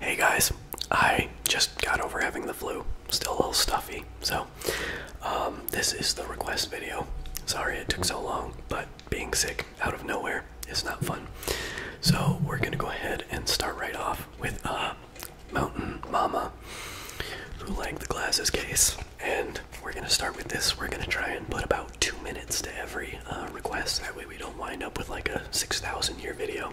Hey guys, I just got over having the flu. Still a little stuffy, so um, this is the request video. Sorry it took so long, but being sick out of nowhere is not fun. So we're gonna go ahead and start right off with uh, Mountain Mama, who liked the glasses case, and we're gonna start with this. We're gonna try and put about two minutes to every uh, request. That way we don't wind up with like a 6,000 year video.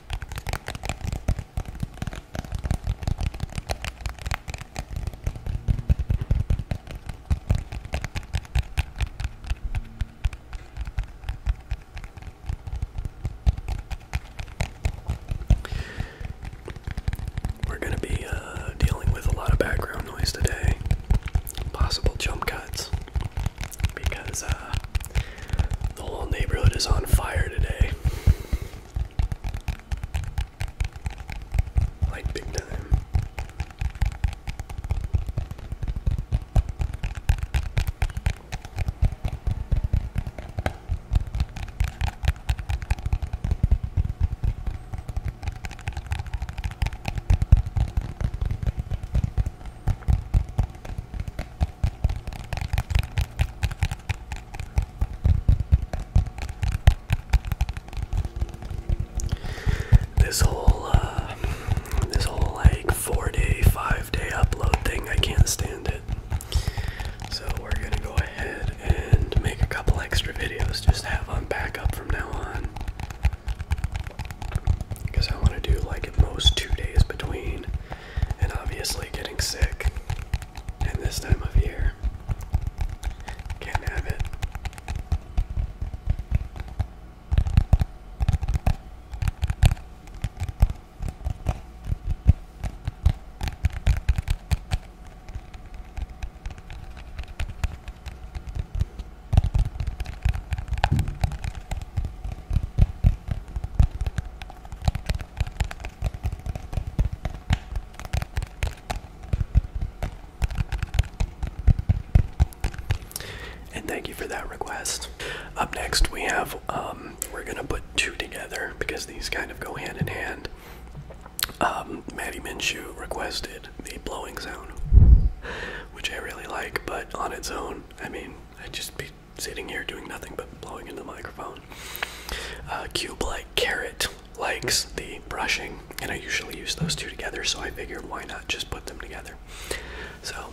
we're going to be uh, dealing with a lot of background noise today, possible jump cuts, because uh, the whole neighborhood is on fire today. Like big time. This whole, uh, this whole like four day, five day upload thing, I can't stand it. So we're gonna go ahead and make a couple extra videos just have on backup from now on. Because I want to do like at most two days between, and obviously getting sick. And this time of year, can't have it. And thank you for that request. Up next, we have um, we're gonna put two together because these kind of go hand in hand. Um, Maddie Minshew requested the blowing Zone, which I really like, but on its own, I mean, i just be sitting here doing nothing but blowing into the microphone. Uh, cube like carrot likes the brushing, and I usually use those two together, so I figured why not just put them together. So.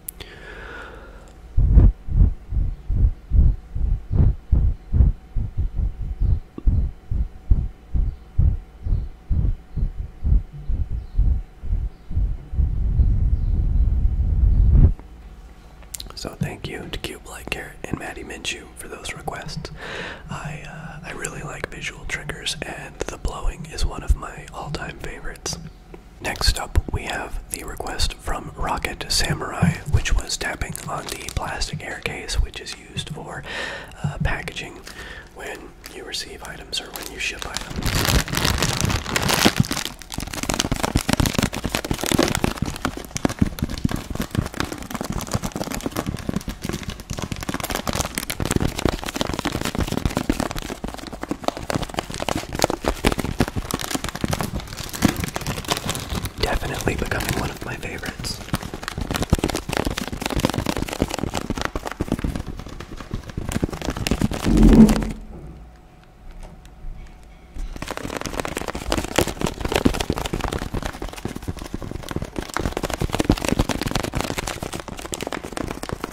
So thank you to Cube Light and Maddie Minshew for those requests. I uh, I really like visual triggers, and the blowing is one of my all-time favorites. Next up, we have the request from Rocket Samurai, which was tapping on the plastic air case, which is used for uh, packaging when you receive items or when you ship items. Definitely becoming one of my favorites.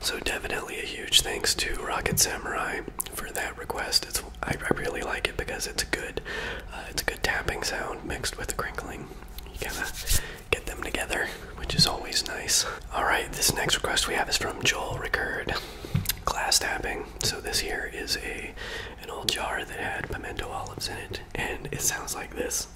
So definitely a huge thanks to Rocket Samurai for that request. It's I, really like it because it's a good uh, it's a good tapping sound mixed with crinkling. You gotta get them together, which is always nice. All right, this next request we have is from Joel Rickard glass tapping. So this here is a an old jar that had pimento olives in it, and it sounds like this.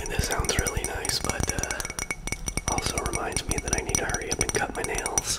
And this sounds really nice, but uh, also reminds me that I need to hurry up and cut my nails.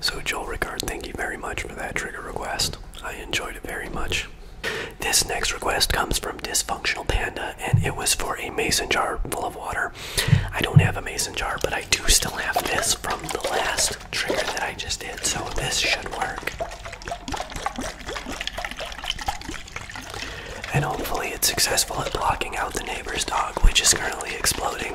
So, Joel Ricard, thank you very much for that trigger request. I enjoyed it very much. This next request comes from Dysfunctional Panda, and it was for a mason jar full of water. I don't have a mason jar, but I do still have this from the last trigger that I just did, so this should work. And hopefully, it's successful at blocking out the neighbor's dog, which is currently exploding.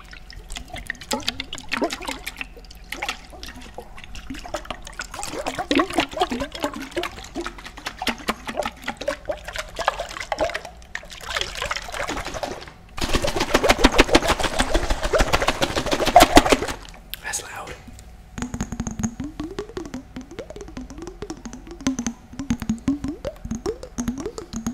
That's loud.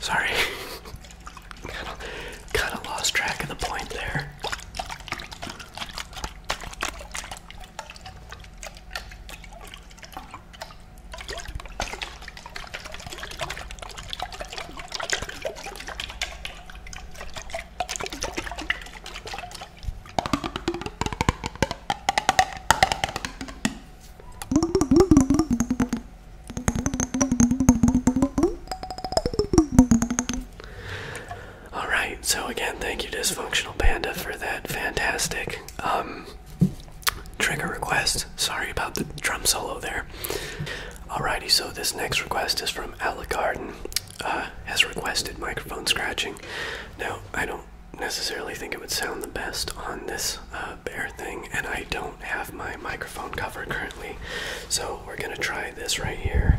Sorry. kind of lost track of the point there. All right. So again, thank you, Dysfunctional Panda, for that fantastic um, trigger request. Sorry about the drum solo there. Alrighty. So this next request is from Alacarden. Uh, has requested microphone scratching. Now I don't necessarily think it would sound the best on this uh, thing, and I don't have my microphone cover currently, so we're gonna try this right here.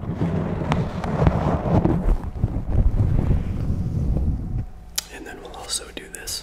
And then we'll also do this.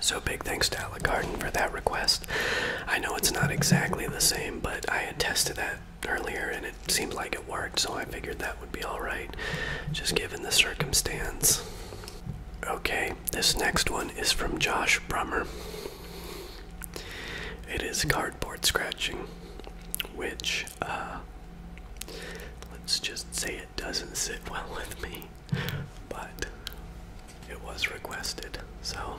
So, big thanks to Alec Garden for that request. I know it's not exactly the same, but I had tested that earlier and it seemed like it worked, so I figured that would be alright, just given the circumstance. Okay, this next one is from Josh Brummer. It is cardboard scratching, which, uh, let's just say it doesn't sit well with me, but it was requested, so.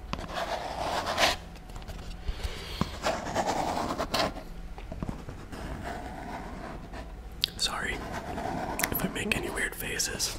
Sorry if I make any weird faces.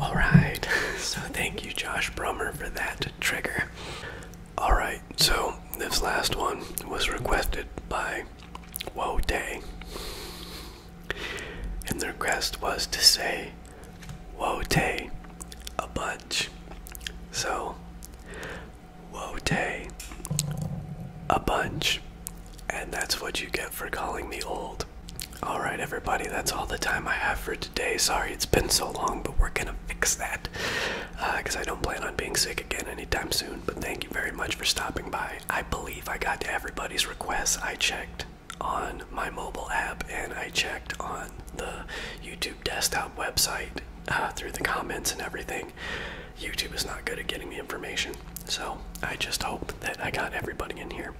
All right, so thank you, Josh Brummer, for that trigger. All right, so this last one was requested by Woe Day, and the request was to say Woe Day a bunch. So Wote a bunch. And that's what you get for calling me old. Alright, everybody, that's all the time I have for today. Sorry it's been so long, but we're gonna fix that. Because uh, I don't plan on being sick again anytime soon. But thank you very much for stopping by. I believe I got to everybody's requests. I checked on my mobile app and I checked on the YouTube desktop website uh, through the comments and everything. YouTube is not good at getting me information. So I just hope that I got everybody in here.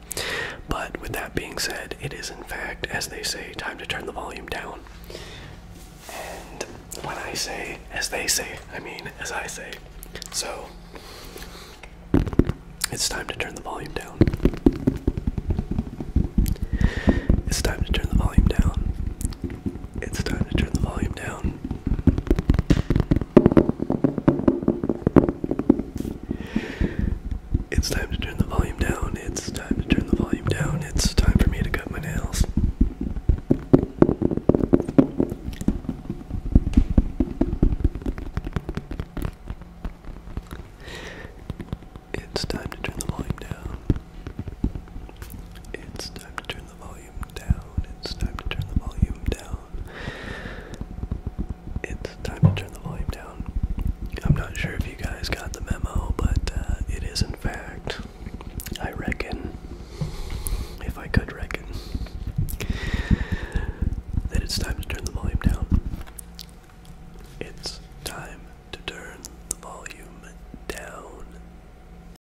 But with that being said, it is in fact, as they say, time to turn the volume down. And when I say, as they say, I mean as I say. So it's time to turn the volume down. It's time to turn the volume down it's time to turn the volume down. It's time to turn the volume down. It's time to turn the volume down. It's time for me to cut my nails. It's time to turn the volume down. It's time to turn the volume down. It's time to turn the volume down. It's time to turn the volume down. I'm not sure if you guys got the memo, but uh, it is, in fact, I reckon, if I could reckon, that it's time to turn the volume down. It's time to turn the volume down.